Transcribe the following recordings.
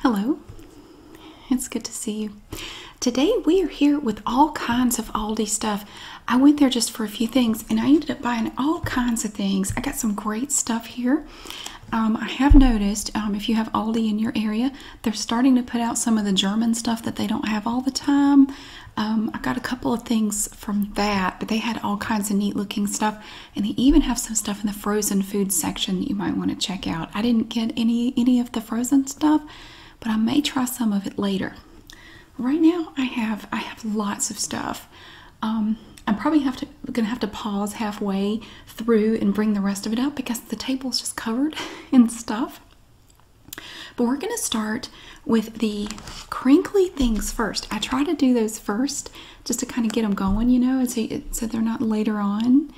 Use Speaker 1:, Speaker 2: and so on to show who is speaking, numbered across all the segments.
Speaker 1: Hello, it's good to see you. Today we are here with all kinds of Aldi stuff. I went there just for a few things and I ended up buying all kinds of things. I got some great stuff here. Um, I have noticed um, if you have Aldi in your area, they're starting to put out some of the German stuff that they don't have all the time. Um, I got a couple of things from that, but they had all kinds of neat looking stuff and they even have some stuff in the frozen food section that you might want to check out. I didn't get any any of the frozen stuff, but I may try some of it later. Right now, I have I have lots of stuff. I'm um, probably have to gonna have to pause halfway through and bring the rest of it out because the table's just covered in stuff. But we're gonna start with the crinkly things first. I try to do those first just to kind of get them going, you know, so, so they're not later on.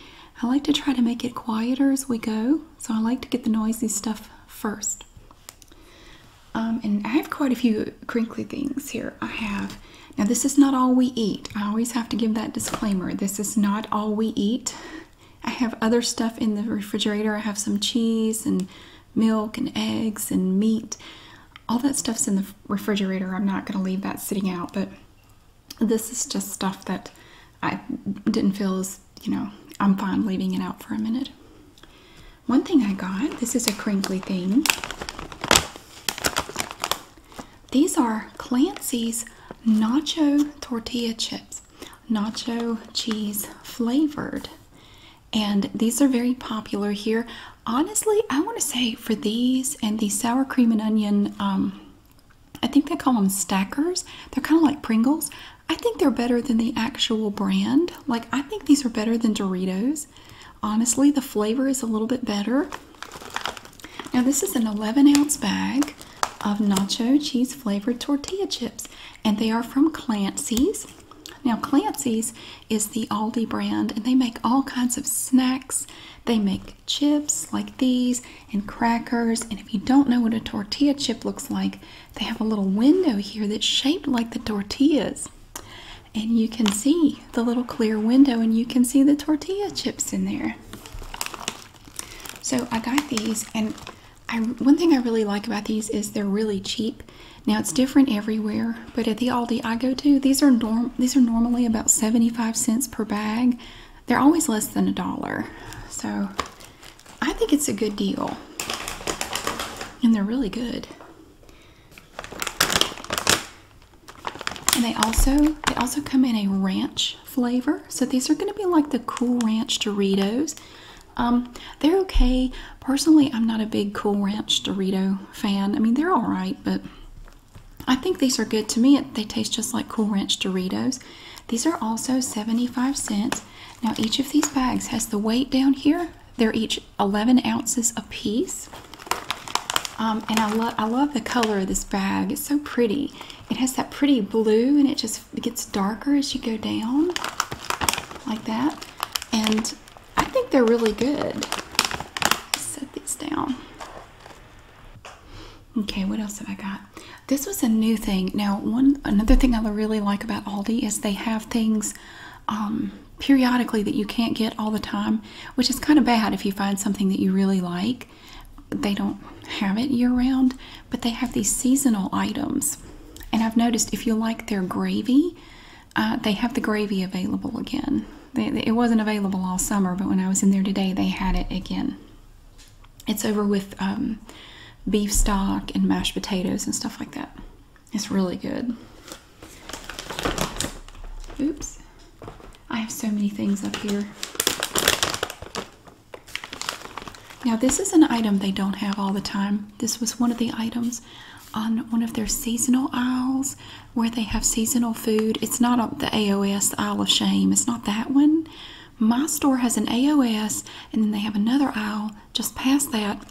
Speaker 1: I like to try to make it quieter as we go, so I like to get the noisy stuff first. Um, and I have quite a few crinkly things here. I have, now this is not all we eat. I always have to give that disclaimer. This is not all we eat. I have other stuff in the refrigerator. I have some cheese and milk and eggs and meat. All that stuff's in the refrigerator. I'm not going to leave that sitting out, but this is just stuff that I didn't feel as, you know, I'm fine leaving it out for a minute. One thing I got, this is a crinkly thing. These are Clancy's Nacho Tortilla Chips, nacho cheese flavored. And these are very popular here honestly i want to say for these and the sour cream and onion um i think they call them stackers they're kind of like pringles i think they're better than the actual brand like i think these are better than doritos honestly the flavor is a little bit better now this is an 11 ounce bag of nacho cheese flavored tortilla chips and they are from clancy's now clancy's is the aldi brand and they make all kinds of snacks they make chips like these and crackers. And if you don't know what a tortilla chip looks like, they have a little window here that's shaped like the tortillas. And you can see the little clear window and you can see the tortilla chips in there. So I got these and I, one thing I really like about these is they're really cheap. Now it's different everywhere, but at the Aldi I go to, these are norm these are normally about 75 cents per bag. They're always less than a dollar. So I think it's a good deal. And they're really good. And they also they also come in a ranch flavor. So these are going to be like the Cool Ranch Doritos. Um, they're okay. Personally, I'm not a big Cool Ranch Dorito fan. I mean, they're all right, but I think these are good to me. They taste just like Cool Ranch Doritos. These are also 75 cents. Now, each of these bags has the weight down here. They're each 11 ounces a piece. Um, and I, lo I love the color of this bag. It's so pretty. It has that pretty blue and it just gets darker as you go down like that. And I think they're really good. Set these down. Okay, what else have I got? This was a new thing. Now, one another thing I really like about Aldi is they have things um, periodically that you can't get all the time, which is kind of bad if you find something that you really like. They don't have it year round, but they have these seasonal items. And I've noticed if you like their gravy, uh, they have the gravy available again. It wasn't available all summer, but when I was in there today, they had it again. It's over with um, beef stock and mashed potatoes and stuff like that. It's really good. Oops. I have so many things up here. Now, this is an item they don't have all the time. This was one of the items on one of their seasonal aisles where they have seasonal food. It's not the AOS, aisle of Shame. It's not that one. My store has an AOS, and then they have another aisle just past that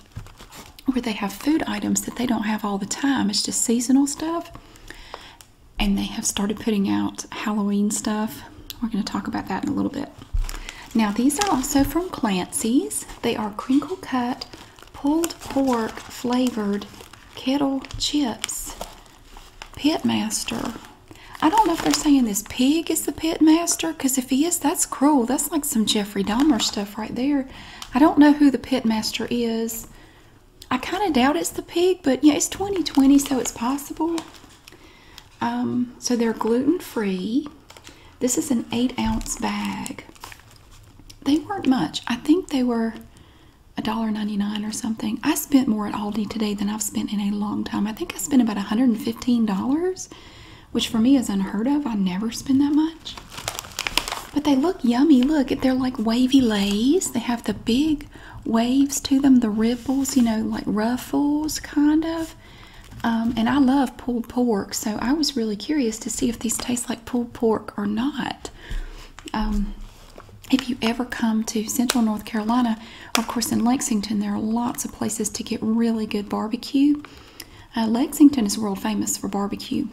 Speaker 1: where they have food items that they don't have all the time. It's just seasonal stuff. And they have started putting out Halloween stuff. We're going to talk about that in a little bit. Now, these are also from Clancy's. They are crinkle cut pulled pork flavored kettle chips. Pit master. I don't know if they're saying this pig is the pit master, because if he is, that's cruel. That's like some Jeffrey Dahmer stuff right there. I don't know who the pit master is. I kind of doubt it's the pig, but yeah, it's 2020, so it's possible. Um, so they're gluten free. This is an eight ounce bag. They weren't much. I think they were $1.99 or something. I spent more at Aldi today than I've spent in a long time. I think I spent about $115, which for me is unheard of. I never spend that much. But they look yummy. Look, they're like wavy lays. They have the big waves to them, the ripples, you know, like ruffles kind of. Um, and I love pulled pork, so I was really curious to see if these taste like pulled pork or not. Um, if you ever come to Central North Carolina, of course, in Lexington, there are lots of places to get really good barbecue. Uh, Lexington is world famous for barbecue.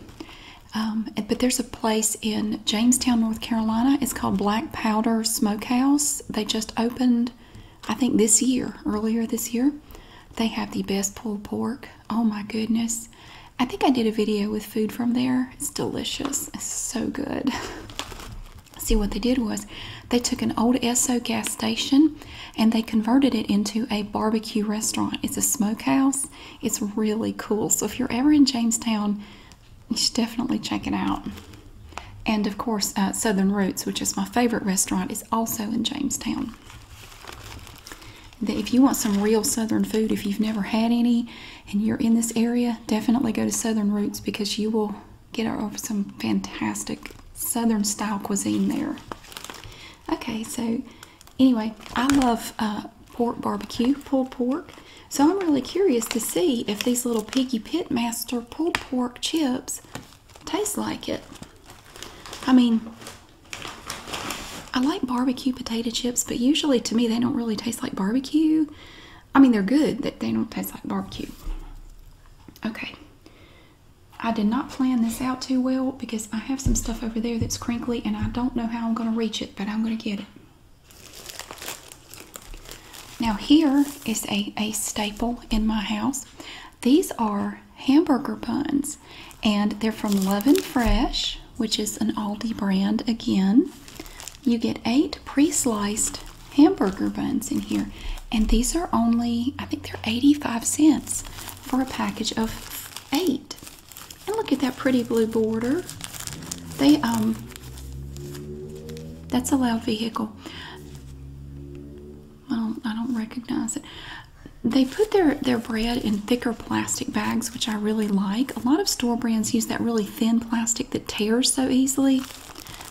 Speaker 1: Um, but there's a place in Jamestown, North Carolina. It's called Black Powder Smokehouse. They just opened, I think, this year, earlier this year. They have the best pulled pork. Oh my goodness. I think I did a video with food from there. It's delicious. It's so good. See what they did was they took an old Esso gas station and they converted it into a barbecue restaurant. It's a smokehouse. It's really cool. So if you're ever in Jamestown, you should definitely check it out. And of course, uh, Southern Roots, which is my favorite restaurant, is also in Jamestown. If you want some real Southern food, if you've never had any, and you're in this area, definitely go to Southern Roots because you will get some fantastic Southern style cuisine there. Okay, so anyway, I love uh, pork barbecue, pulled pork. So I'm really curious to see if these little Piggy Pitmaster pulled pork chips taste like it. I mean, I like barbecue potato chips, but usually to me they don't really taste like barbecue. I mean, they're good, that they don't taste like barbecue. Okay. I did not plan this out too well because I have some stuff over there that's crinkly and I don't know how I'm going to reach it, but I'm going to get it. Now here is a, a staple in my house. These are hamburger buns and they're from Love and Fresh which is an Aldi brand again. You get eight pre-sliced hamburger buns in here, and these are only I think they're 85 cents for a package of eight. And look at that pretty blue border. They um that's a loud vehicle. I don't I don't recognize it. They put their, their bread in thicker plastic bags, which I really like. A lot of store brands use that really thin plastic that tears so easily.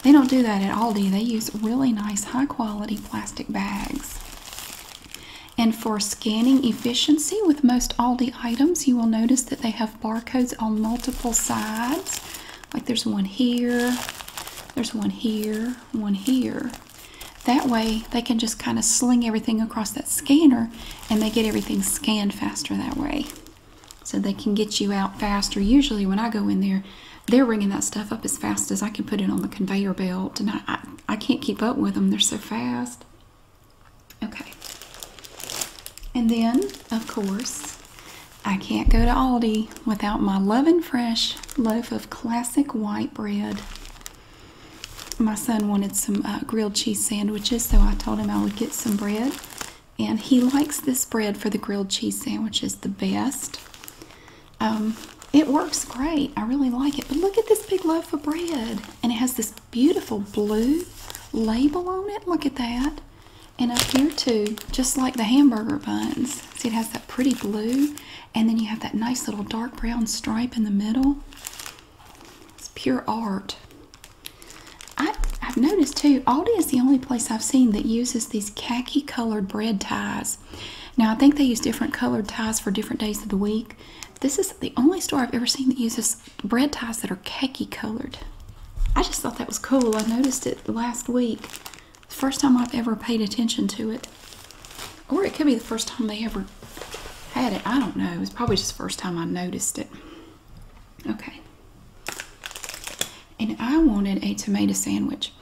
Speaker 1: They don't do that at Aldi. They use really nice, high quality plastic bags. And for scanning efficiency with most Aldi items, you will notice that they have barcodes on multiple sides. Like there's one here, there's one here, one here. That way, they can just kind of sling everything across that scanner and they get everything scanned faster that way so they can get you out faster. Usually, when I go in there, they're ringing that stuff up as fast as I can put it on the conveyor belt, and I, I, can't keep up with them. They're so fast. Okay. And then, of course, I can't go to Aldi without my Loving Fresh loaf of classic white bread. My son wanted some uh, grilled cheese sandwiches, so I told him I would get some bread and he likes this bread for the grilled cheese sandwiches the best. Um, it works great. I really like it. But look at this big loaf of bread, and it has this beautiful blue label on it. Look at that. And up here too, just like the hamburger buns. See, it has that pretty blue, and then you have that nice little dark brown stripe in the middle. It's pure art. I, have noticed too, Aldi is the only place I've seen that uses these khaki colored bread ties. Now, I think they use different colored ties for different days of the week. This is the only store I've ever seen that uses bread ties that are khaki colored. I just thought that was cool. I noticed it last week. the first time I've ever paid attention to it. Or it could be the first time they ever had it. I don't know. It's probably just the first time I noticed it. Okay. And I wanted a tomato sandwich.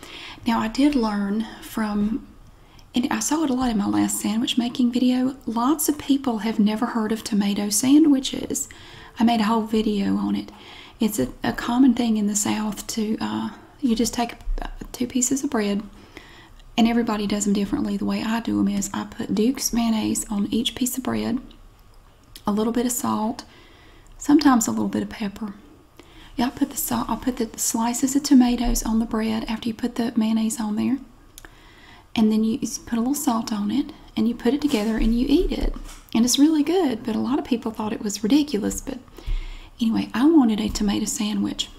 Speaker 1: Now, I did learn from, and I saw it a lot in my last sandwich making video, lots of people have never heard of tomato sandwiches. I made a whole video on it. It's a, common thing in the South to, uh, you just take two pieces of bread, and everybody does them differently. The way I do them is I put Duke's mayonnaise on each piece of bread a little bit of salt, sometimes a little bit of pepper. Yeah, I put the salt, I put the slices of tomatoes on the bread after you put the mayonnaise on there. And then you put a little salt on it and you put it together and you eat it. And it's really good, but a lot of people thought it was ridiculous. But anyway, I wanted a tomato sandwich.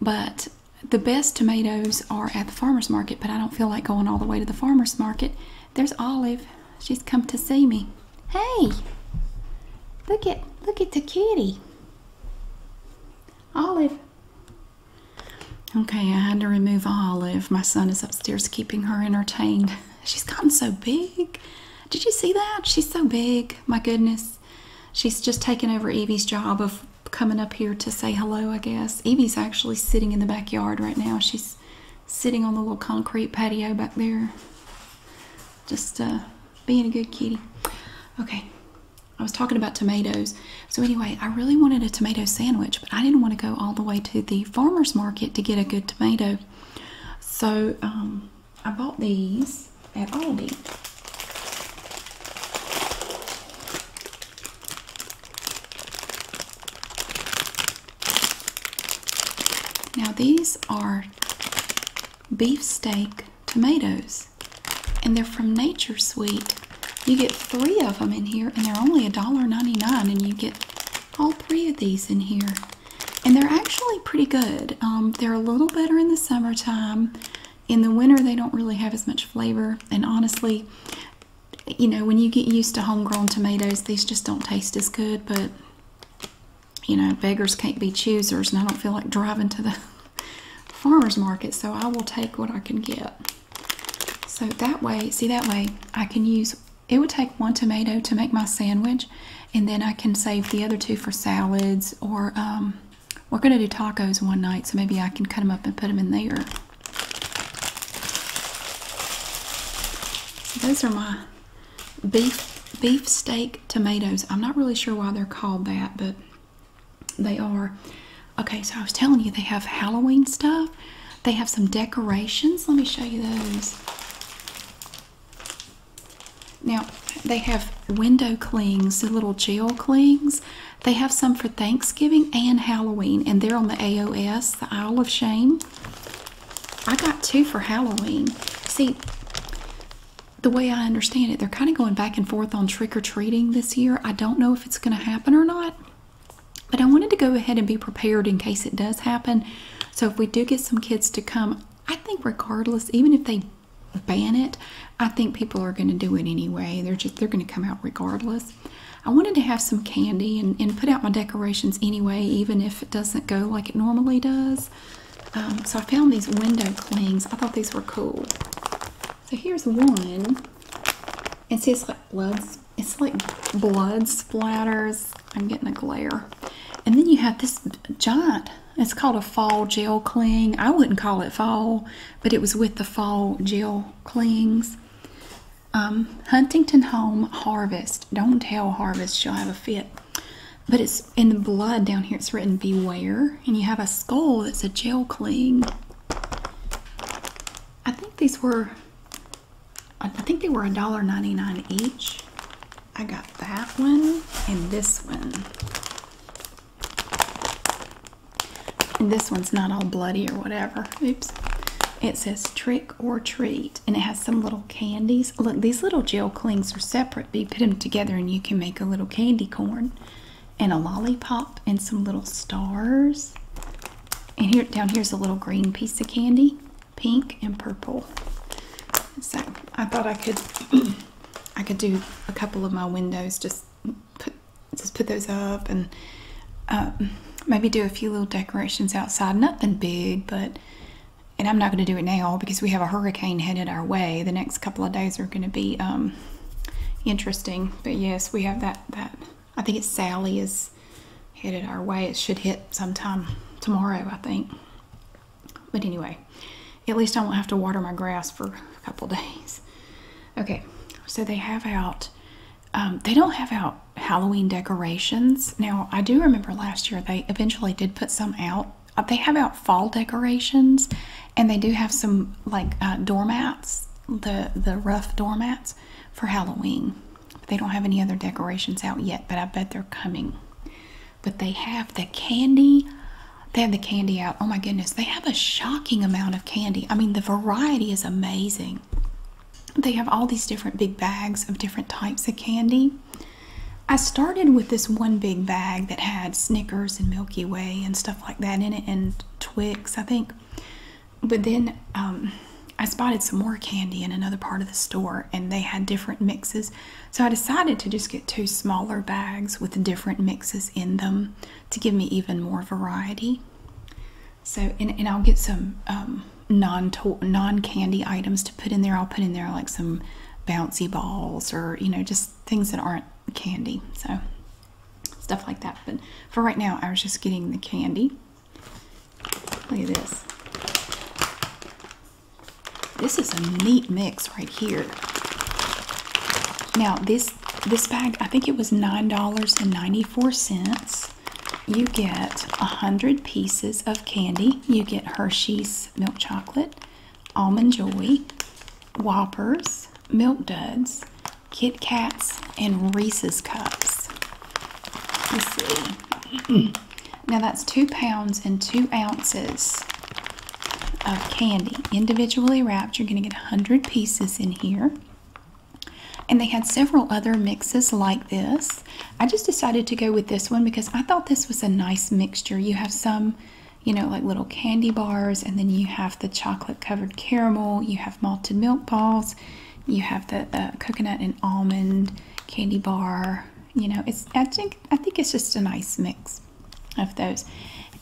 Speaker 1: But the best tomatoes are at the farmer's market, but I don't feel like going all the way to the farmer's market. There's Olive. She's come to see me. Hey! Look at look at the kitty. Olive. Okay, I had to remove Olive. My son is upstairs keeping her entertained. She's gotten so big. Did you see that? She's so big. My goodness. She's just taken over Evie's job of coming up here to say hello, I guess. Evie's actually sitting in the backyard right now. She's sitting on the little concrete patio back there. Just uh, being a good kitty. Okay, I was talking about tomatoes. So, anyway, I really wanted a tomato sandwich, but I didn't want to go all the way to the farmer's market to get a good tomato. So, um, I bought these at Aldi. Now these are beefsteak tomatoes and they're from Nature Sweet. You get three of them in here and they're only a $1.99 and you get all three of these in here. And they're actually pretty good. Um, they're a little better in the summertime. In the winter they don't really have as much flavor and honestly you know, when you get used to homegrown tomatoes, these just don't taste as good, but you know, beggars can't be choosers, and I don't feel like driving to the farmer's market, so I will take what I can get. So that way, see, that way I can use it, would take one tomato to make my sandwich, and then I can save the other two for salads or, um, we're going to do tacos one night, so maybe I can cut them up and put them in there those are my beef beef steak tomatoes. I'm not really sure why they're called that, but they are. Okay, so I was telling you they have Halloween stuff. They have some decorations. Let me show you those. Now, they have window clings, the little gel clings. They have some for Thanksgiving and Halloween, and they're on the AOS, the Isle of Shame. I got two for Halloween. See, the way I understand it, they're kind of going back and forth on trick or treating this year. I don't know if it's going to happen or not, but I wanted to go ahead and be prepared in case it does happen. So if we do get some kids to come, I think regardless, even if they ban it, I think people are going to do it anyway. They're just they're going to come out regardless. I wanted to have some candy and, put out my decorations anyway, even if it doesn't go like it normally does. Um, so I found these window clings. I thought these were cool. So here's one. And see, it's like blood. It's like blood splatters. I'm getting a glare. And then you have this giant. It's called a fall gel cling. I wouldn't call it fall, but it was with the fall gel clings. Um, Huntington Home Harvest. Don't tell Harvest, she'll have a fit. But it's in the blood down here, it's written Beware. And you have a skull that's a jail clean. I think these were, I think they were $1.99 each. I got that one and this one. And this one's not all bloody or whatever. Oops. It says trick or treat, and it has some little candies. Look, these little gel clings are separate, but you put them together and you can make a little candy corn and a lollipop and some little stars. And here down here's a little green piece of candy, pink and purple. So I thought I could I could do a couple of my windows, just put put just put those up and um, maybe do a few little decorations outside. Nothing big, but and I'm not going to do it now because we have a hurricane headed our way. The next couple of days are going to be um, interesting. But yes, we have that. That I think it's Sally is headed our way. It should hit sometime tomorrow, I think. But anyway, at least I won't have to water my grass for a couple days. Okay, so they have out um, they don't have out Halloween decorations. Now, I do remember last year they eventually did put some out. Uh, they have out fall decorations and they do have some like uh, doormats, the, the rough doormats for Halloween. But they don't have any other decorations out yet, but I bet they're coming. But they have the candy. They have the candy out. Oh my goodness. They have a shocking amount of candy. I mean, the variety is amazing they have all these different big bags of different types of candy. I started with this one big bag that had Snickers and Milky Way and stuff like that in it, and Twix, I think. But then um, I spotted some more candy in another part of the store, and they had different mixes. So I decided to just get two smaller bags with different mixes in them to give me even more variety. So, and, and I'll get some um, non non candy items to put in there. I'll put in there like some bouncy balls or you know just things that aren't candy. So stuff like that. But for right now, I was just getting the candy. Look at this. This is a neat mix right here. Now this this bag, I think it was nine dollars and ninety four cents you get a 100 pieces of candy. You get Hershey's milk chocolate, Almond Joy, Whoppers, Milk Duds, Kit Kats, and Reese's Cups. Now that's two pounds and two ounces of candy. Individually wrapped, you're going to get a 100 pieces in here. And they had several other mixes like this. I just decided to go with this one because I thought this was a nice mixture. You have some, you know, like little candy bars, and then you have the chocolate covered caramel, you have malted milk balls, you have the, coconut and almond candy bar. You know, it's I think I think it's just a nice mix of those.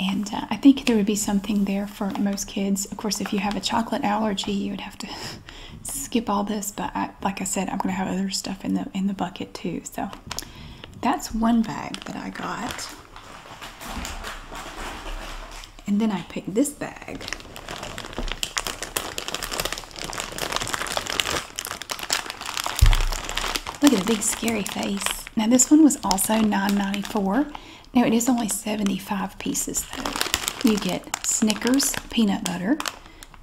Speaker 1: And uh, I think there would be something there for most kids. Of course, if you have a chocolate allergy, you would have to skip all this, but like I said, I'm gonna have other stuff in the in the bucket too. So that's one bag that I got, and then I picked this bag. Look at the big scary face. Now this one was also 9.94. Now it is only 75 pieces though. You get Snickers peanut butter,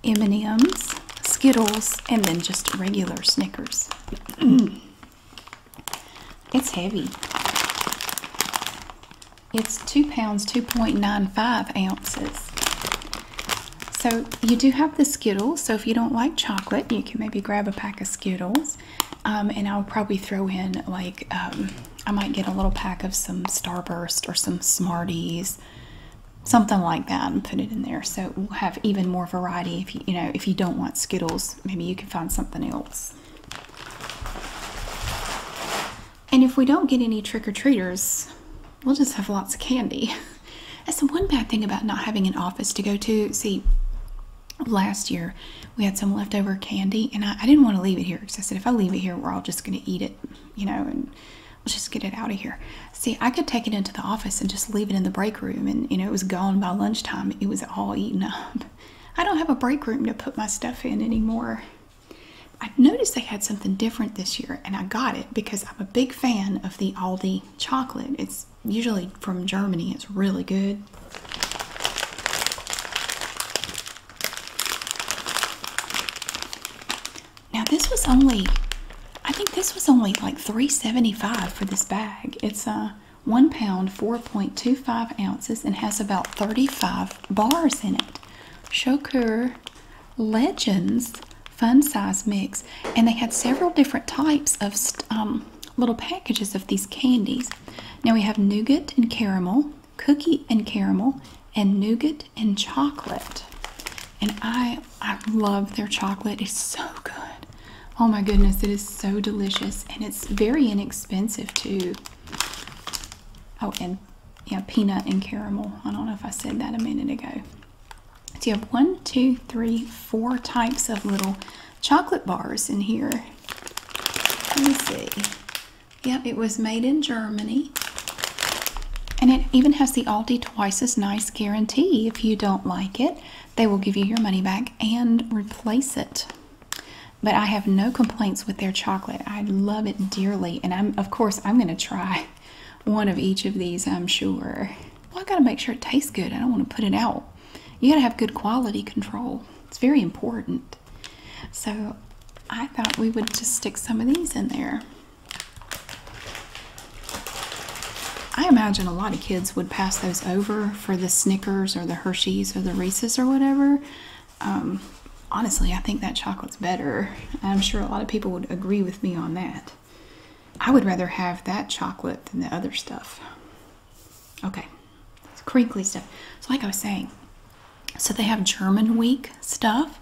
Speaker 1: M&M's, Skittles, and then just regular Snickers. it's heavy. It's two pounds, 2.95 ounces. So you do have the Skittles. So if you don't like chocolate, you can maybe grab a pack of Skittles. Um, and I'll probably throw in like um, I might get a little pack of some Starburst or some Smarties, something like that, and put it in there. So we'll have even more variety. If you, you know, if you don't want Skittles, maybe you can find something else. And if we don't get any trick or treaters, we'll just have lots of candy. That's the one bad thing about not having an office to go to. See, last year we had some leftover candy, and I, I didn't want to leave it here. I said if I leave it here, we're all just going to eat it, you know, and let's just get it out of here. See, I could take it into the office and just leave it in the break room, and you know, it was gone by lunchtime. It was all eaten up. I don't have a break room to put my stuff in anymore. I noticed they had something different this year, and I got it because I'm a big fan of the Aldi chocolate. It's usually from Germany, it's really good. Now this was only I think this was only like 375 for this bag. It's a uh, one pound 4.25 ounces and has about 35 bars in it. Shokur Legends fun size mix and they had several different types of um, little packages of these candies. Now we have nougat and caramel, cookie and caramel, and nougat and chocolate. And I I love their chocolate. It's so good. Oh my goodness, it is so delicious and it's very inexpensive too. Oh, and yeah, peanut and caramel. I don't know if I said that a minute ago. So you have one, two, three, four types of little chocolate bars in here. Let me see. Yep, it was made in Germany. And it even has the Aldi twice as nice guarantee. If you don't like it, they will give you your money back and replace it. But I have no complaints with their chocolate. I love it dearly. And I'm of course I'm gonna try one of each of these, I'm sure. Well, I gotta make sure it tastes good. I don't want to put it out. You gotta have good quality control. It's very important. So I thought we would just stick some of these in there. I imagine a lot of kids would pass those over for the Snickers or the Hershey's or the Reese's or whatever. Um, honestly, I think that chocolate's better. I'm sure a lot of people would agree with me on that. I would rather have that chocolate than the other stuff. Okay, crinkly stuff. So, like I was saying, so they have German week stuff.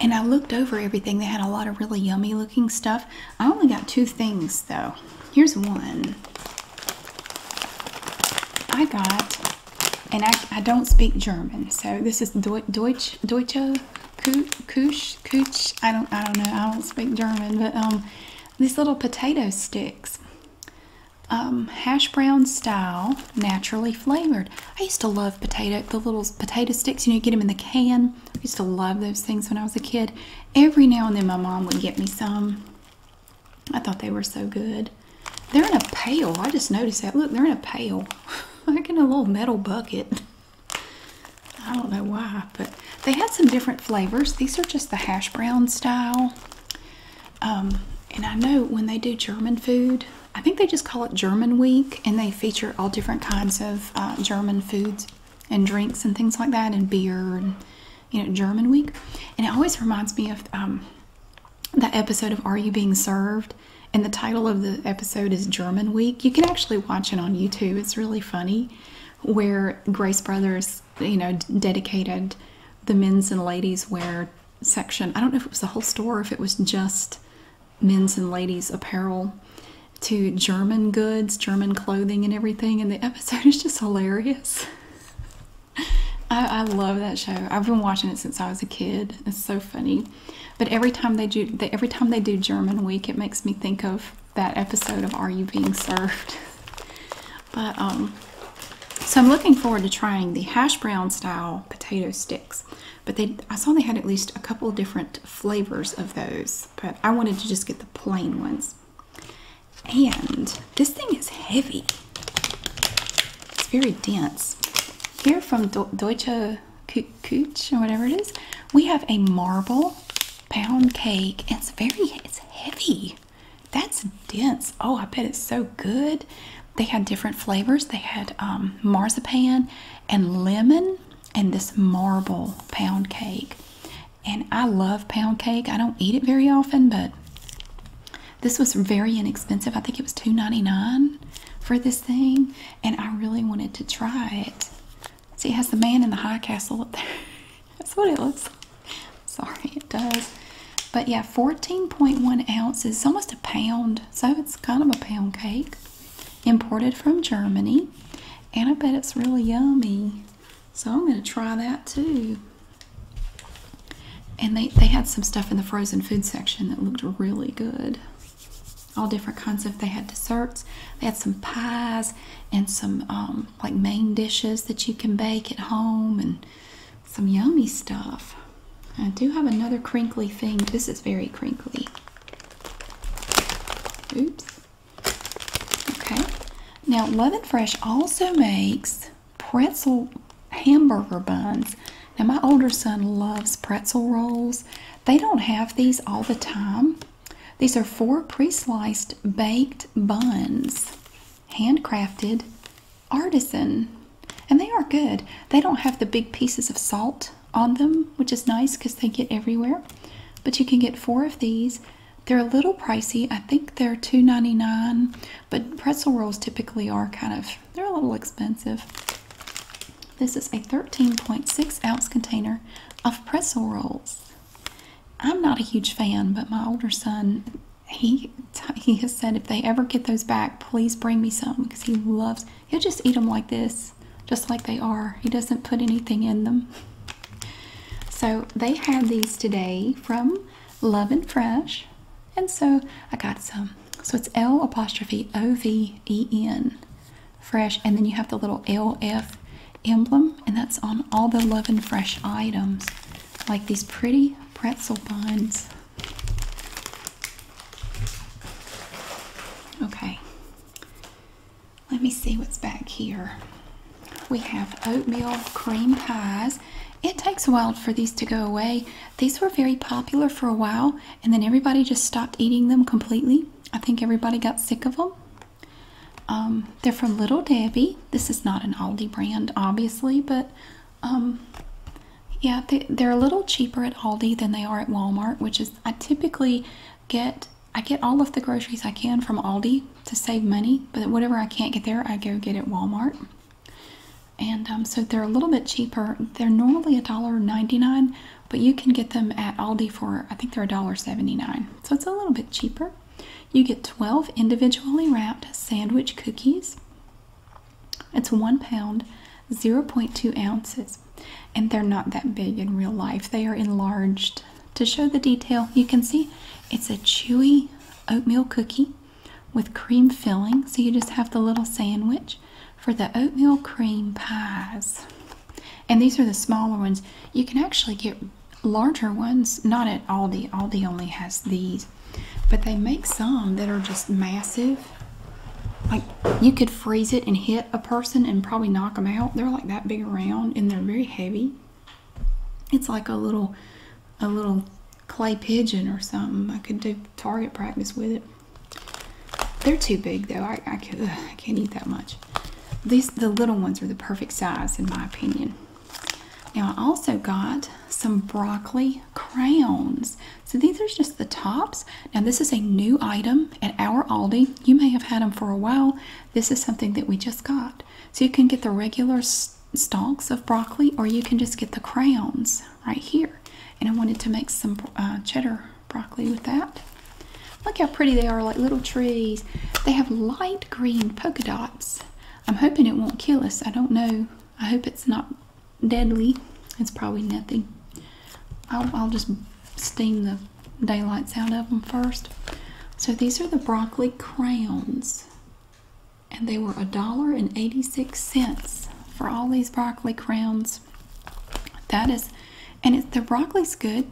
Speaker 1: And I looked over everything. They had a lot of really yummy looking stuff. I only got two things though. Here's one. I got, and I, don't speak German, so this is Deutsch, Deutsch, Kusch, Kusch. I don't, I don't know. I don't speak German, but um, these little potato sticks um, hash brown style, naturally flavored. I used to love potato, the little potato sticks, you know, get them in the can. I used to love those things when I was a kid. Every now and then my mom would get me some. I thought they were so good. They're in a pail. I just noticed that. Look, they're in a pail. like in a little metal bucket. I don't know why, but they had some different flavors. These are just the hash brown style. Um, and I know when they do German food, I think they just call it German Week, and they feature all different kinds of uh, German foods and drinks and things like that, and beer and you know German Week. And it always reminds me of um, the episode of Are You Being Served? And the title of the episode is German Week. You can actually watch it on YouTube. It's really funny, where Grace Brothers, you know, dedicated the men's and ladies wear section. I don't know if it was the whole store, if it was just men's and ladies' apparel, to German goods, German clothing, and everything. And the episode is just hilarious. I, love that show. I've been watching it since I was a kid. It's so funny. But every time they do, they, every time they do German Week, it makes me think of that episode of Are You Being Served? But um, so I'm looking forward to trying the hash brown style potato stick. But they, I saw they had at least a couple different flavors of those. But I wanted to just get the plain ones. And this thing is heavy. It's very dense. Here from Deutsche Kuch or whatever it is, we have a marble pound cake. It's very, it's heavy. That's dense. Oh, I bet it's so good. They had different flavors. They had um, marzipan and lemon and this marble pound cake. And I love pound cake. I don't eat it very often, but this was very inexpensive. I think it was $2.99 for this thing. And I really wanted to try it. See, it has the man in the high castle up there. That's what it looks Sorry, it does. But yeah, 14.1 ounces, almost a pound, so it's kind of a pound cake. Imported from Germany, and I bet it's really yummy. So I'm going to try that too. And they, they had some stuff in the frozen food section that looked really good. All different kinds of, they had desserts, they had some pies and some um, like main dishes that you can bake at home and some yummy stuff. I do have another crinkly thing. This is very crinkly. Oops. Okay. Now, Love and Fresh also makes pretzel hamburger buns. Now, my older son loves pretzel rolls. They don't have these all the time. These are four pre sliced baked buns, handcrafted artisan and they are good they don't have the big pieces of salt on them which is nice because they get everywhere but you can get four of these they're a little pricey i think they're $2.99 but pretzel rolls typically are kind of they're a little expensive this is a 13.6 ounce container of pretzel rolls i'm not a huge fan but my older son he he has said if they ever get those back, please bring me some because he loves. He'll just eat them like this, just like they are. He doesn't put anything in them. So they had these today from Love and Fresh, and so I got some. So it's L apostrophe O V E N, fresh, and then you have the little L F emblem, and that's on all the Love and Fresh items, like these pretty pretzel buns. Okay. Let me see what's back here. We have oatmeal cream pies. It takes a while for these to go away. These were very popular for a while, and then everybody just stopped eating them completely. I think everybody got sick of them. Um, they're from Little Debbie. This is not an Aldi brand, obviously, but um, yeah, they, they're a little cheaper at Aldi than they are at Walmart, which is I typically get I get all of the groceries I can from Aldi to save money, but whatever I can't get there, I go get at Walmart. And um, so they're a little bit cheaper. They're normally a dollar ninety nine, but you can get them at Aldi for I think they're a dollar seventy nine. So it's a little bit cheaper. You get 12 individually wrapped sandwich cookies. It's one pound, 0.2 ounces, and they're not that big in real life. They are enlarged. To show the detail, you can see it's a chewy oatmeal cookie with cream filling. So you just have the little sandwich for the oatmeal cream pies. And these are the smaller ones. You can actually get larger ones, not at Aldi. Aldi only has these. But they make some that are just massive. Like you could freeze it and hit a person and probably knock them out. They're like that big around and they're very heavy. It's like a little a little clay pigeon or something. I could do target practice with it. They're too big though. I, I, can't eat that much. These the little ones are the perfect size in my opinion. Now I also got some broccoli crowns. So these are just the tops. Now this is a new item at our Aldi. You may have had them for a while. This is something that we just got. So you can get the regular stalks of broccoli or you can just get the crayons right here. And I wanted to make some uh, cheddar broccoli with that. Look how pretty they are, like little trees. They have light green polka dots. I'm hoping it won't kill us. I don't know I hope it's not deadly. It's probably nothing. I'll, just steam the daylights out of them first. So these are the broccoli crowns, and they were a dollar and eighty-six cents for all these broccoli crowns. That is, and it, the broccoli's good.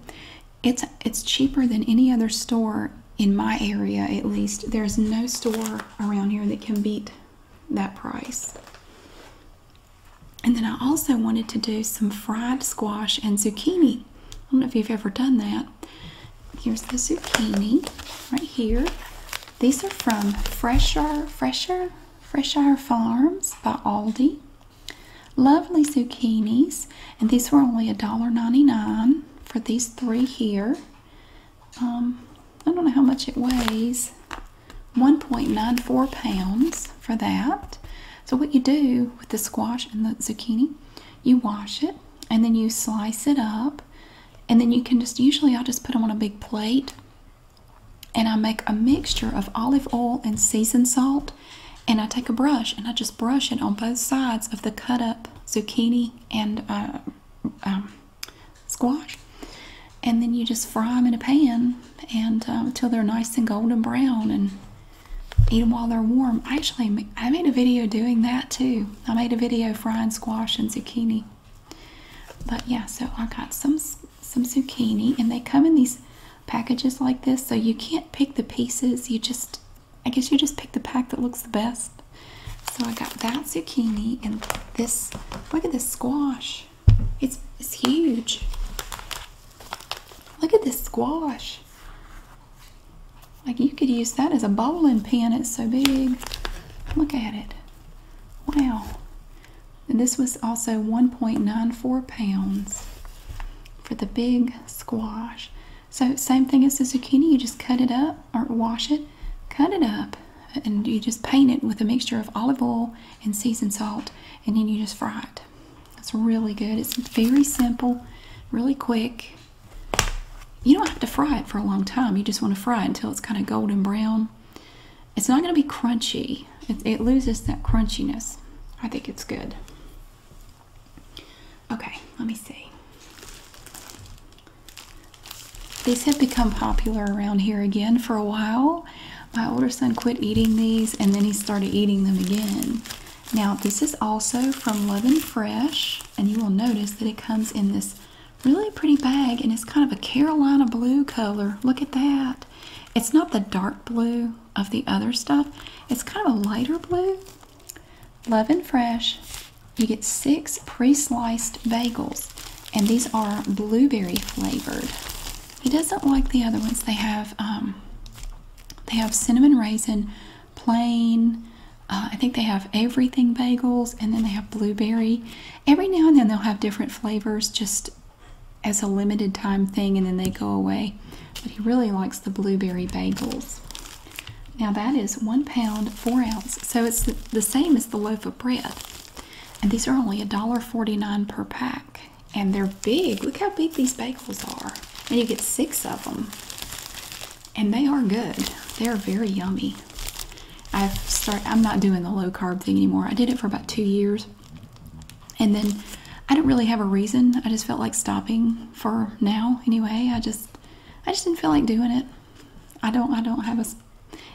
Speaker 1: It's it's cheaper than any other store in my area, at least. There's no store around here that can beat that price. And then I also wanted to do some fried squash and zucchini. I don't know if you've ever done that. Here's the zucchini right here. These are from Fresher, Fresher, Fresher Farms by Aldi. Lovely zucchinis, and these were only $1.99 for these three here. Um, I don't know how much it weighs. 1.94 pounds for that. So what you do with the squash and the zucchini, you wash it and then you slice it up and then you can just usually I'll just put them on a big plate and I make a mixture of olive oil and seasoned salt and I take a brush and I just brush it on both sides of the cut up zucchini and uh, um, squash. And then you just fry them in a pan and until um, they're nice and golden brown and eat them while they're warm. I actually, I made a video doing that too. I made a video frying squash and zucchini. But yeah, so I got some some zucchini and they come in these packages like this. So you can't pick the pieces. You just, I guess you just pick the pack that looks the best. So I got that zucchini and this, look at this squash. It's, it's huge. Look at this squash. Like you could use that as a bowling pin. It's so big. Look at it. Wow. And this was also 1.94 pounds for the big squash. So same thing as the zucchini, you just cut it up or wash it cut it up and you just paint it with a mixture of olive oil and seasoned salt and then you just fry it. It's really good. It's very simple, really quick. You don't have to fry it for a long time. You just want to fry it until it's kind of golden brown. It's not going to be crunchy. It, loses that crunchiness. I think it's good. Okay, let me see. These have become popular around here again for a while. My older son quit eating these and then he started eating them again. Now, this is also from Love Fresh, and you will notice that it comes in this really pretty bag and it's kind of a Carolina blue color. Look at that. It's not the dark blue of the other stuff, it's kind of a lighter blue. Love Fresh, you get six pre sliced bagels and these are blueberry flavored. He doesn't like the other ones. They have um, they have cinnamon raisin, plain. Uh, I think they have everything bagels, and then they have blueberry. Every now and then they'll have different flavors, just as a limited time thing, and then they go away. But he really likes the blueberry bagels. Now that is one pound four ounce, so it's the same as the loaf of bread. And these are only $1.49 per pack. And they're big. Look how big these bagels are. And you get six of them. And they are good. They are very yummy. I've start I'm not doing the low carb thing anymore. I did it for about two years. And then I didn't really have a reason. I just felt like stopping for now anyway. I just I just didn't feel like doing it. I don't I don't have a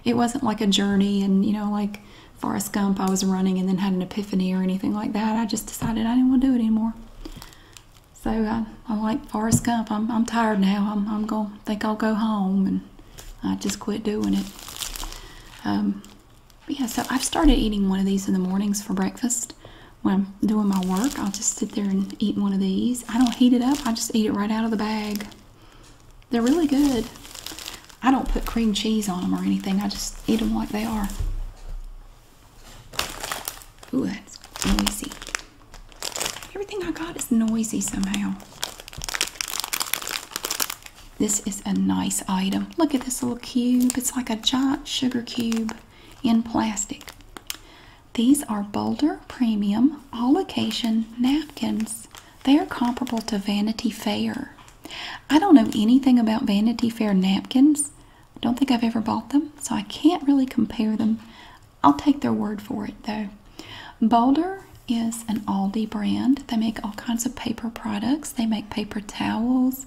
Speaker 1: it wasn't like a journey and you know like Forrest Gump I was running and then had an epiphany or anything like that. I just decided I didn't want to do it anymore. So I, like Forrest Gump. I'm, I'm tired now. I'm, going to think I'll go home and I just quit doing it. Um, but yeah, so I've started eating one of these in the mornings for breakfast. When I'm doing my work, I'll just sit there and eat one of these. I don't heat it up. I just eat it right out of the bag. They're really good. I don't put cream cheese on them or anything. I just eat them like they are. Ooh, that's noisy. Everything I got is noisy somehow. This is a nice item. Look at this little cube. It's like a giant sugar cube in plastic. These are Boulder Premium All Occasion Napkins they are comparable to Vanity Fair. I don't know anything about Vanity Fair napkins. I don't think I've ever bought them, so I can't really compare them. I'll take their word for it though. Boulder is an Aldi brand. They make all kinds of paper products. They make paper towels.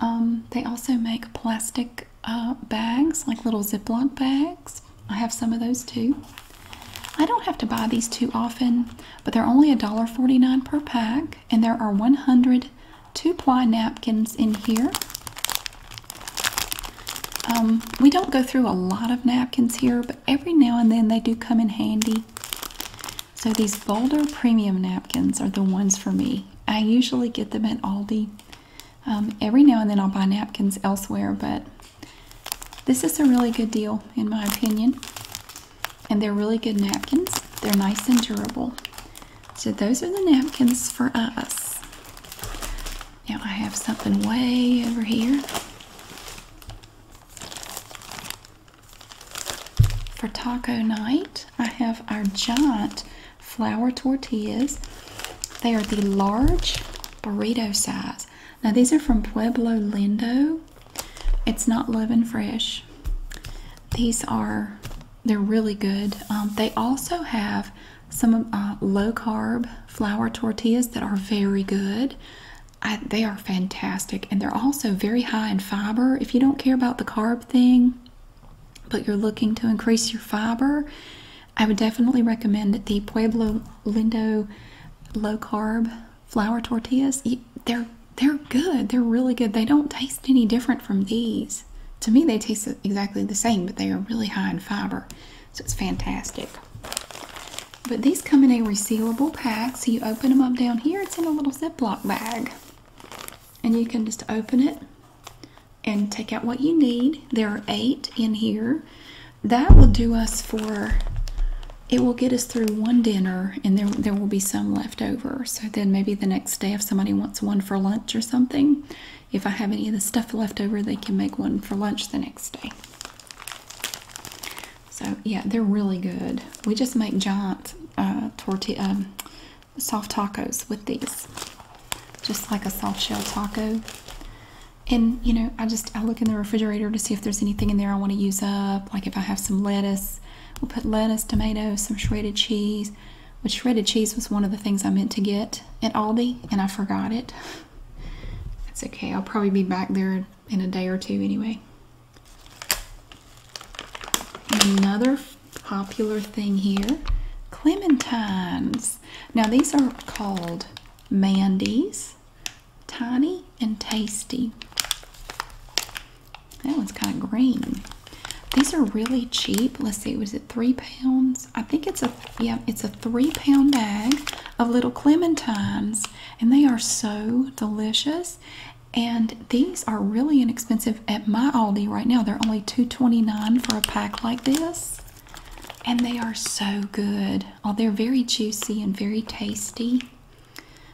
Speaker 1: Um, they also make plastic uh, bags, like little Ziploc bags. I have some of those too. I don't have to buy these too often, but they're only $1.49 per pack, and there are 100 two ply napkins in here. Um, we don't go through a lot of napkins here, but every now and then they do come in handy. So these Boulder Premium napkins are the ones for me. I usually get them at Aldi. Um, every now and then I'll buy napkins elsewhere, but this is a really good deal, in my opinion. And they're really good napkins. They're nice and durable. So those are the napkins for us. Now I have something way over here. For taco night, I have our giant flour tortillas. They are the large burrito size. Now these are from Pueblo Lindo it's not live fresh. These are they're really good. Um, they also have some uh, low carb flour tortillas that are very good. they are fantastic and they're also very high in fiber. If you don't care about the carb thing, but you're looking to increase your fiber, I would definitely recommend the Pueblo Lindo low carb flour tortillas. They're they're good. They're really good. They don't taste any different from these. To me, they taste exactly the same, but they are really high in fiber, so it's fantastic. But these come in a resealable pack, so you open them up down here. It's in a little Ziploc bag, and you can just open it and take out what you need. There are eight in here that will do us for it will get us through one dinner and there, there will be some left over so then maybe the next day if somebody wants one for lunch or something if i have any of the stuff left over they can make one for lunch the next day so yeah they're really good we just make giant uh, tortilla um, soft tacos with these just like a soft shell taco and you know i just i look in the refrigerator to see if there's anything in there i want to use up like if I have some lettuce, we'll put lettuce, tomatoes, some shredded cheese. But shredded cheese was one of the things I meant to get at Aldi, and I forgot it. It's okay. I'll probably be back there in a day or two anyway. Another popular thing here, clementines. Now these are called mandies. Tiny and tasty. That one's kind of green. These are really cheap. Let's see, was it three pounds? I think it's a yeah, it's a three-pound bag of little clementines, and they are so delicious. And these are really inexpensive at my Aldi right now. They're only two twenty-nine for a pack like this. And they are so good. Oh, they're very juicy and very tasty.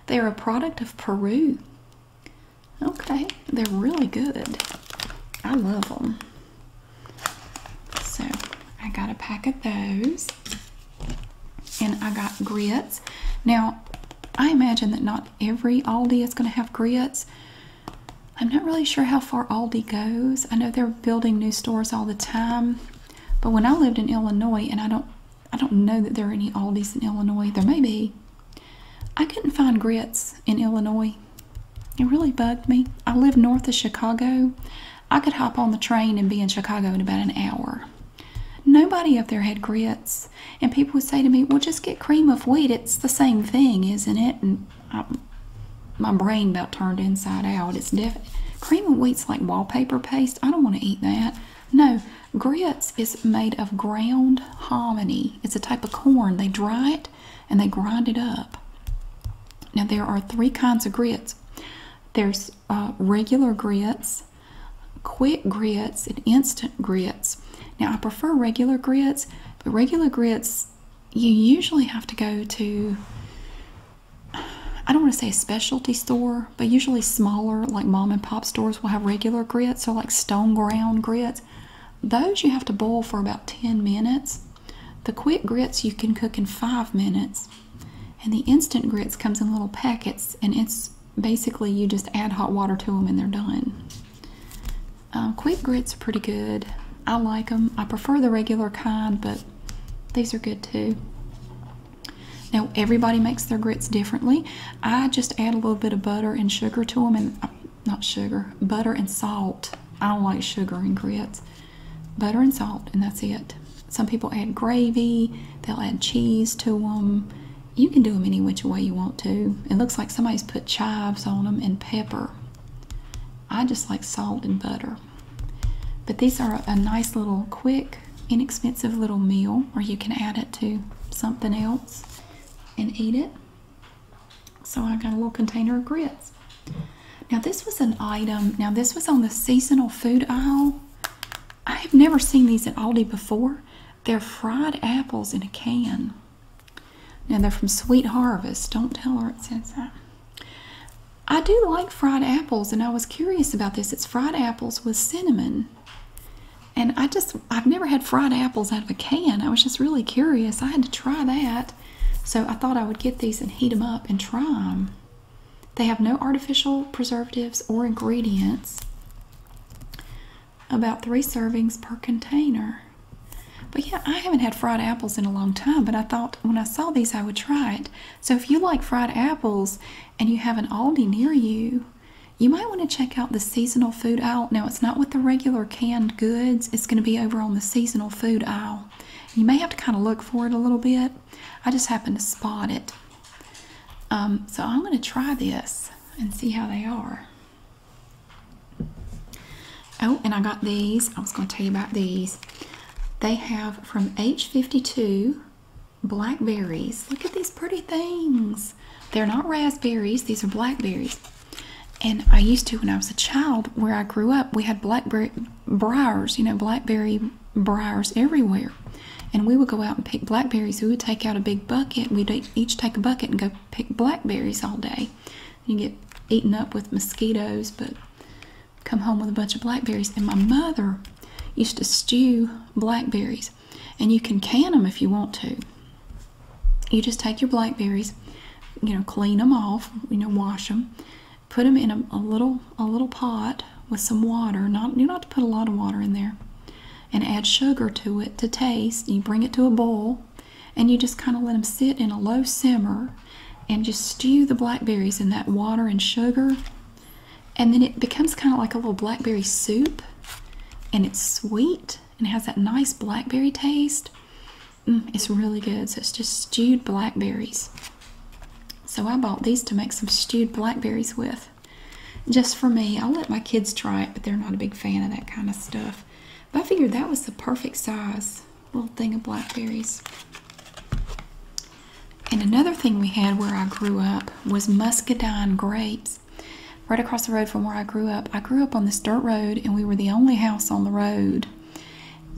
Speaker 1: They're a product of Peru. Okay, they're really good. I love them. So I got a pack of those. And I got grits. Now, I imagine that not every Aldi is going to have grits. I'm not really sure how far Aldi goes. I know they're building new stores all the time. But when I lived in Illinois, and I don't I don't know that there are any Aldi's in Illinois. There may be. I couldn't find grits in Illinois. It really bugged me. I live north of Chicago. I could hop on the train and be in Chicago in about an hour. Nobody up there had grits. And people would say to me, well, just get cream of wheat. It's the same thing, isn't it? And my brain about turned inside out. It's different. Cream of wheat's like wallpaper paste. I don't want to eat that. No, grits is made of ground hominy. It's a type of corn. They dry it and they grind it up. Now, there are three kinds of grits there's uh, regular grits, quick grits, and instant grits. Now, I prefer regular grits, but regular grits, you usually have to go to I don't want to say a specialty store, but usually smaller, like mom and pop stores, will have regular grits or like stone ground grits. Those you have to boil for about 10 minutes. The quick grits you can cook in five minutes. And the instant grits comes in little packets, and it's basically you just add hot water to them and they're done. Uh, quick grits are pretty good. I like them. I prefer the regular kind, but these are good too. Now, everybody makes their grits differently. I just add a little bit of butter and sugar to them, and uh, not sugar, butter and salt. I don't like sugar and grits. Butter and salt, and that's it. Some people add gravy, they'll add cheese to them. You can do them any which way you want to. It looks like somebody's put chives on them and pepper. I just like salt and butter. But these are a nice little quick inexpensive little meal or you can add it to something else and eat it. So I got a little container of grits. Now this was an item, now this was on the seasonal food aisle. I have never seen these at Aldi before. They're fried apples in a can. Now they're from Sweet Harvest. Don't tell her it says that. I do like fried apples and I was curious about this fried apples with cinnamon. And I just, I've never had fried apples out of a can. I was just really curious. I had to try that. So I thought I would get these and heat them up and try them. They have no artificial preservatives or ingredients. About three servings per container. But yeah, I haven't had fried apples in a long time, but I thought when I saw these I would try it. So if you like fried apples, and you have an Aldi near you, you might want to check out the seasonal food aisle. Now, it's not with the regular canned goods, it's going to be over on the seasonal food aisle. You may have to kind of look for it a little bit. I just happened to spot it. Um, so, I'm going to try this and see how they are. Oh, and I got these. I was going to tell you about these. They have from H52 blackberries. Look at these pretty things. They're not raspberries, these are blackberries. And I used to, when I was a child, where I grew up, we had blackberry briars, you know, blackberry briars everywhere. And we would go out and pick blackberries. We would take out a big bucket. We'd each take a bucket and go pick blackberries all day. You get eaten up with mosquitoes, but come home with a bunch of blackberries. And my mother used to stew blackberries, and you can can them if you want to. You just take your blackberries, you know, clean them off, you know, wash them, put them in a, little a little pot with some water. Not you don't have to put a lot of water in there, and add sugar to it to taste. You bring it to a boil, and you just kind of let them sit in a low simmer, and just stew the blackberries in that water and sugar and then it becomes kind of like a little blackberry soup and it's sweet and it has that nice blackberry taste mm, it's really good so it's just stewed blackberries so i bought these to make some stewed blackberries with just for me i'll let my kids try it but they're not a big fan of that kind of stuff but i figured that was the perfect size little thing of blackberries and another thing we had where I grew up was muscadine grapes. Right across the road from where I grew up, I grew up on this dirt road, and we were the only house on the road.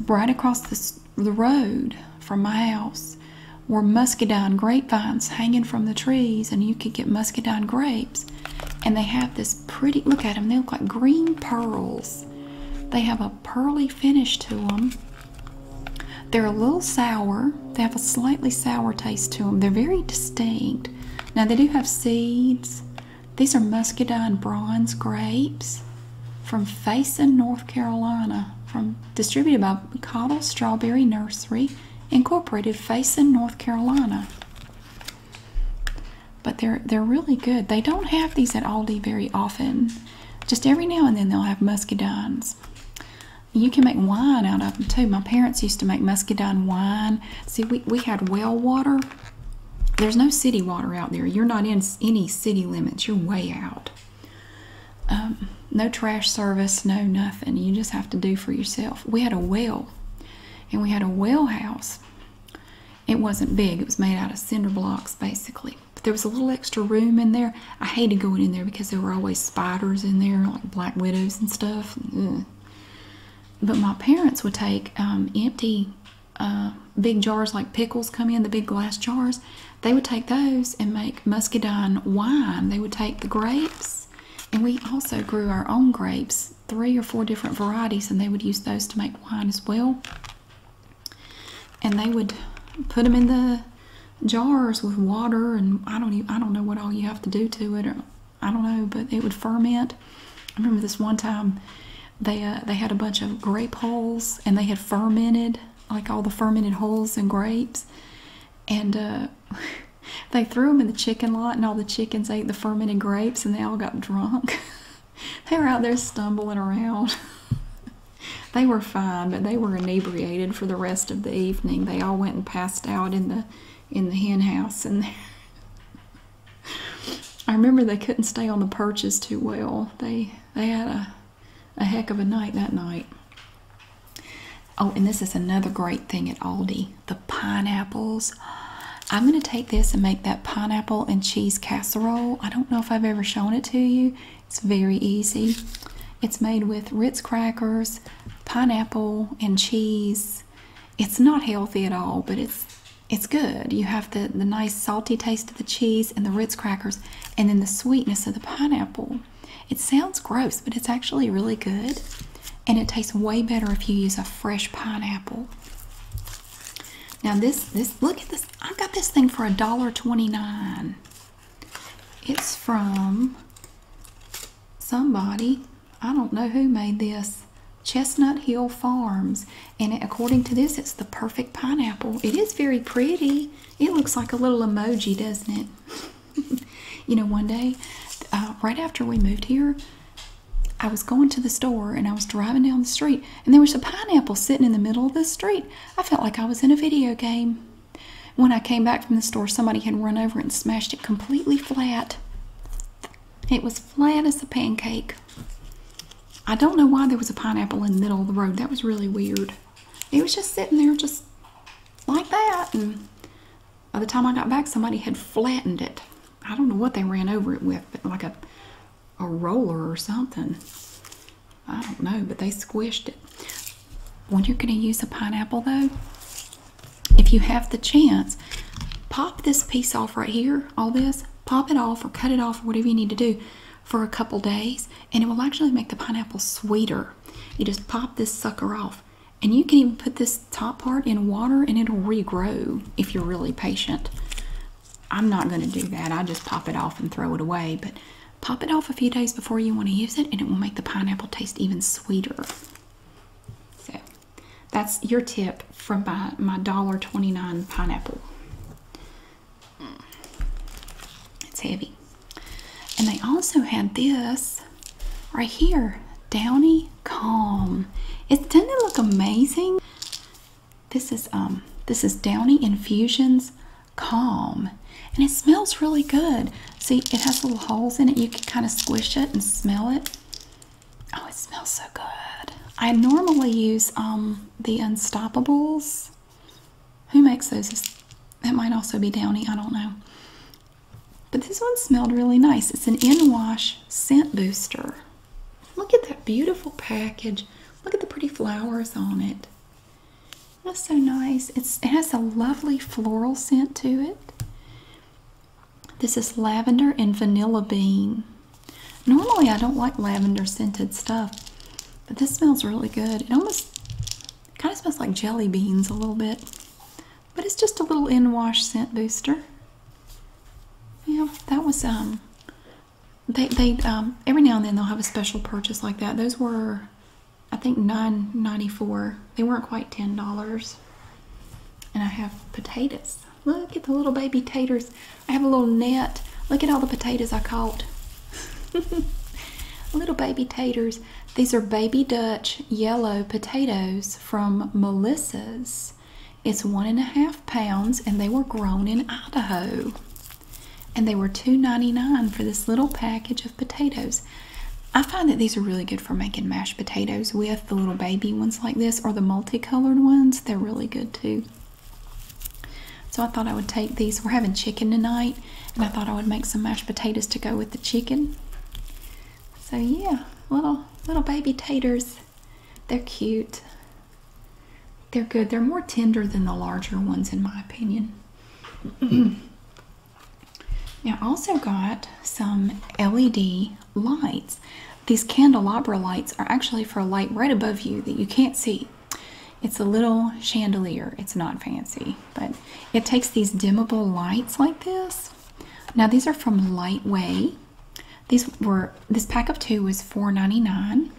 Speaker 1: Right across this, the road from my house were muscadine grapevines hanging from the trees, and you could get muscadine grapes. And they have this pretty look at them, they look like green pearls. They have a pearly finish to them. They're a little sour. They have a slightly sour taste to them. They're very distinct. Now they do have seeds. These are muscadine bronze grapes from Faison, North Carolina, from distributed by Cottle Strawberry Nursery, Incorporated, Faison, North Carolina. But they're they're really good. They don't have these at Aldi very often. Just every now and then they'll have muscadines. You can make wine out of them too. My parents used to make muscadine wine. See, we, we had well water. There's no city water out there. You're not in any city limits. You're way out. Um, no trash service, no nothing. You just have to do for yourself. We had a well, and we had a well house. It wasn't big. It was made out of cinder blocks, basically. But there was a little extra room in there. I hated going in there because there were always spiders in there, like black widows and stuff. But my parents would take um, empty uh, big jars, like pickles come in, the big glass jars. They would take those and make muscadine wine. They would take the grapes, and we also grew our own grapes, three or four different varieties, and they would use those to make wine as well. And they would put them in the jars with water and I don't even, I don't know what all you have to do to it I don't know but it would ferment. I remember this one time they uh, they had a bunch of grape hulls and they had fermented like all the fermented hulls and grapes and uh, they threw them in the chicken lot and all the chickens ate the fermented grapes and they all got drunk. they were out there stumbling around. They were fine, but they were inebriated for the rest of the evening. They all went and passed out in the in the hen house and I remember they couldn't stay on the perches too well. They they had a a heck of a night that night. Oh, and this is another great thing at Aldi, the pineapples. I'm going to take this and make that pineapple and cheese casserole. I don't know if I've ever shown it to you. It's very easy. It's made with Ritz crackers, pineapple, and cheese. It's not healthy at all, but it's it's good. You have the, the nice salty taste of the cheese and the Ritz crackers and then the sweetness of the pineapple. It sounds gross, but it's actually really good. And it tastes way better if you use a fresh pineapple. Now this this look at this. I got this thing for a dollar twenty nine. It's from somebody, I don't know who made this, Chestnut Hill Farms. And according to this, it's the perfect pineapple. It is very pretty. It looks like a little emoji, doesn't it? you know, one day, uh, right after we moved here, I was going to the store and I was driving down the street and there was a pineapple sitting in the middle of the street. I felt like I was in a video game. When I came back from the store, somebody had run over and smashed it completely flat. It was flat as a pancake. I don't know why there was a pineapple in the middle of the road. That was really weird. It was just sitting there just like that. And by the time I got back, somebody had flattened it. I don't know what they ran over it with, but like a, a roller or something. I don't know, but they squished it when you're going to use a pineapple though if you have the chance pop this piece off right here all this pop it off or cut it off or whatever you need to do for a couple days and it will actually make the pineapple sweeter you just pop this sucker off and you can even put this top part in water and it'll regrow if you're really patient i'm not going to do that i just pop it off and throw it away but Pop it off a few days before you want to use it, and it will make the pineapple taste even sweeter. So, that's your tip from my, dollar twenty-nine pineapple. Mm. It's heavy. And they also had this right here Downy Calm. It doesn't look amazing? This is um this is Downy Infusions calm and it smells really good see it has little holes in it you can kind of squish it and smell it oh it smells so good i normally use um, the unstoppables who makes those that might also be downy i don't know but this one smelled really nice it's an in-wash scent booster look at that beautiful package look at the pretty flowers on it that's so nice. it has a lovely floral scent to it. This is lavender and vanilla bean. Normally, I don't like lavender scented stuff, but this smells really good. It almost kind of smells like jelly beans a little bit, but it's just a little in wash scent booster. Yeah, that was um. They they um every now and then they'll have a special purchase like that. Those were I think nine ninety four. They weren't quite $10. And I have potatoes. Look at the little baby taters. I have a little net. Look at all the potatoes I caught. little baby taters. These are baby Dutch yellow potatoes from Melissa's. It's one and a half pounds and they were grown in Idaho. And they were two ninety nine for this little package of potatoes. I find that these are really good for making mashed potatoes with the little baby ones like this or the multicolored ones. They're really good too. So I thought I would take these. We're having chicken tonight and I thought I would make some mashed potatoes to go with the chicken. So yeah, little little baby taters. They're cute. They're good. They're more tender than the larger ones in my opinion. Now, I also got some LED lights. These candelabra lights are actually for a light right above you that you can't see. It's a little chandelier. It's not fancy, but it takes these dimmable lights like this. Now, these are from Lightway. These were this pack of two was $4.99.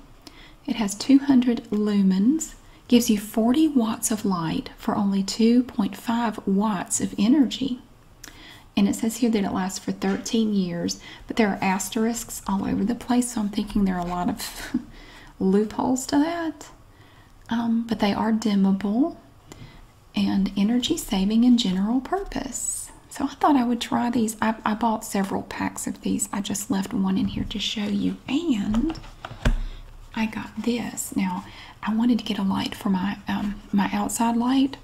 Speaker 1: It has 200 lumens gives you 40 watts of light for only 2.5 watts of energy. And it says here that it lasts for 13 years, but there are asterisks all over the place, so I'm thinking there are a lot of loopholes to that. Um, but they are dimmable and energy saving and general purpose. So I thought I would try these. I bought several packs of these. I just left one in here to show you. And I got this. Now, I wanted to get a light for my um, my outside light.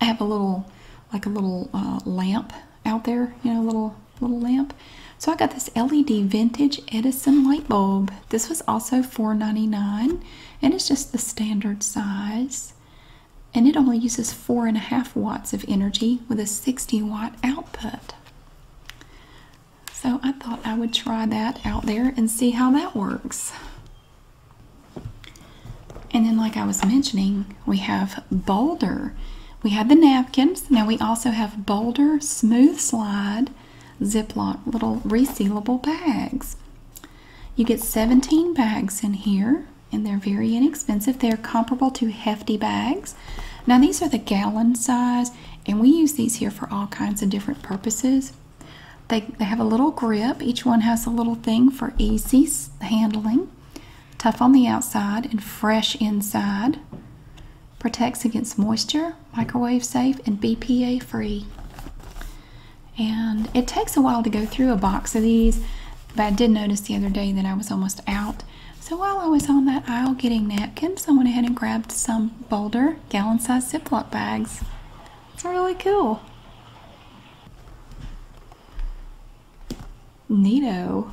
Speaker 1: I have a little, like a little uh, lamp out there, you know, little little lamp. So I got this LED vintage Edison light bulb. This was also $4.99, and it's just the standard size. And it only uses four and a half watts of energy with a 60 watt output. So I thought I would try that out there and see how that works. And then like I was mentioning, we have Boulder. We had the napkins. Now we also have Boulder Smooth Slide Ziploc little resealable bags. You get 17 bags in here and they're very inexpensive. They're comparable to hefty bags. Now these are the gallon size. And we use these here for all kinds of different purposes. They, they have a little grip. Each one has a little thing for easy handling. Tough on the outside and fresh inside. Protects against moisture, microwave safe, and BPA free. And it takes a while to go through a box of these, but I did notice the other day that I was almost out. So while I was on that aisle getting napkins, I went ahead and grabbed some Boulder gallon sized Ziploc bags. It's really cool. Neato.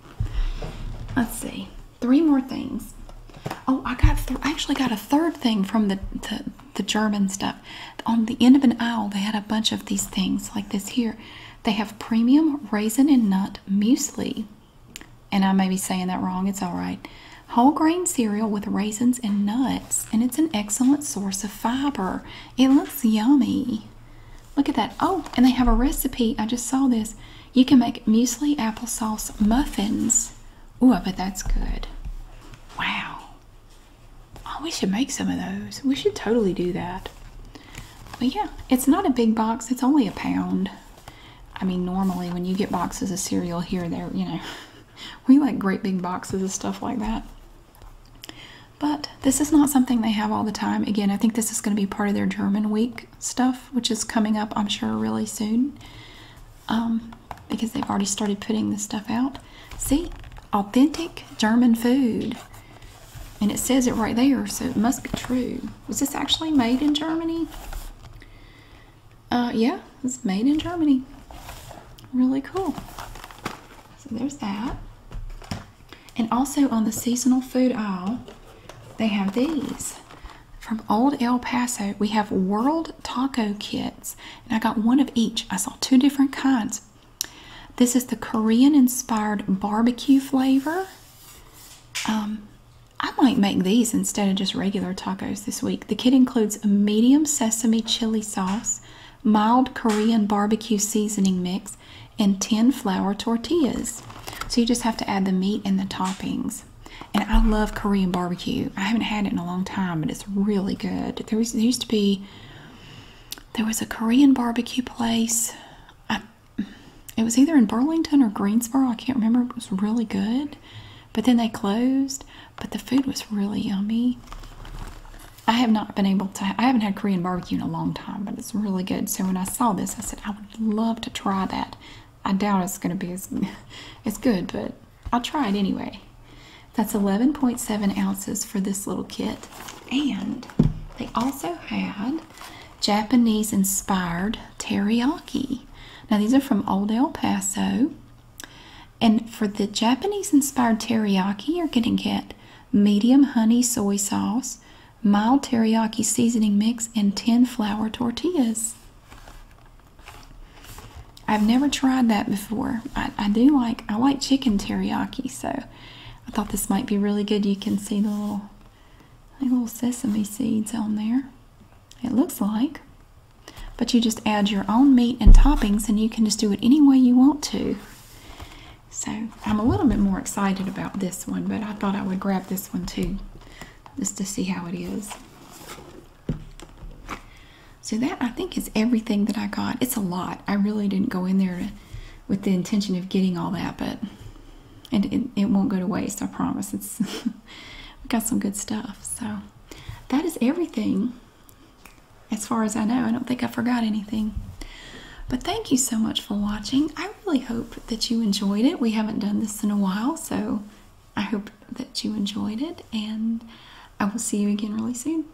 Speaker 1: Let's see. Three more things. Oh, I got I actually got a third thing from the, the the German stuff. On the end of an aisle, they had a bunch of these things like this here. They have premium raisin and nut muesli and I may be saying that wrong, it's all right. Whole grain cereal with raisins and nuts, and it's an excellent source of fiber. It looks yummy. Look at that. Oh, and they have a recipe. I just saw this. You can make muesli applesauce muffins. Ooh, I bet that's good. Wow. Oh, we should make some of those. We should totally do that. But yeah, it's not a big box, it's only a pound. I mean, normally when you get boxes of cereal here, there, you know, we like great big boxes of stuff like that. But this is not something they have all the time. Again, I think this is going to be part of their German week stuff, which is coming up, I'm sure, really soon. Um, because they've already started putting this stuff out. See, authentic German food. And it says it right there, so it must be true. Was this actually made in Germany? Uh, yeah, it's made in Germany. Really cool. So there's that. And also on the seasonal food aisle, they have these. From Old El Paso, we have World Taco Kits. And I got one of each. I saw two different kinds. This is the Korean inspired barbecue flavor. Um, I might make these instead of just regular tacos this week. The kit includes a medium sesame chili sauce, mild Korean barbecue seasoning mix, and 10 flour tortillas. So you just have to add the meat and the toppings. And I love Korean barbecue. I haven't had it in a long time, but it's really good. There, was, used to be, there was a Korean barbecue place. I, it was either in Burlington or Greensboro. I can't remember. It was really good. But then they closed, but the food was really yummy. I have not been able to, I haven't had Korean barbecue in a long time, but it's really good. So when I saw this, I said, I would love to try that. I doubt it's going to be as, as good, but I'll try it anyway. That's 11.7 ounces for this little kit. And they also had Japanese inspired teriyaki. Now, these are from Old El Paso. And for the Japanese inspired teriyaki, you're getting to get medium honey soy sauce, mild teriyaki seasoning mix, and 10 flour tortillas. I've never tried that before. I, do like I like chicken teriyaki, so I thought this might be really good. You can see the little, the little sesame seeds on there. It looks like. But you just add your own meat and toppings and you can just do it any way you want to. So I'm a little bit more excited about this one, but I thought I would grab this one too, just to see how it is. So that I think is everything that I got. It's a lot. I really didn't go in there with the intention of getting all that, but and it won't go to waste. I promise. It's we got some good stuff. So that is everything as far as I know. I don't think I forgot anything. But thank you so much for watching. I really hope that you enjoyed it. We haven't done this in a while, so I hope that you enjoyed it, and I will see you again really soon.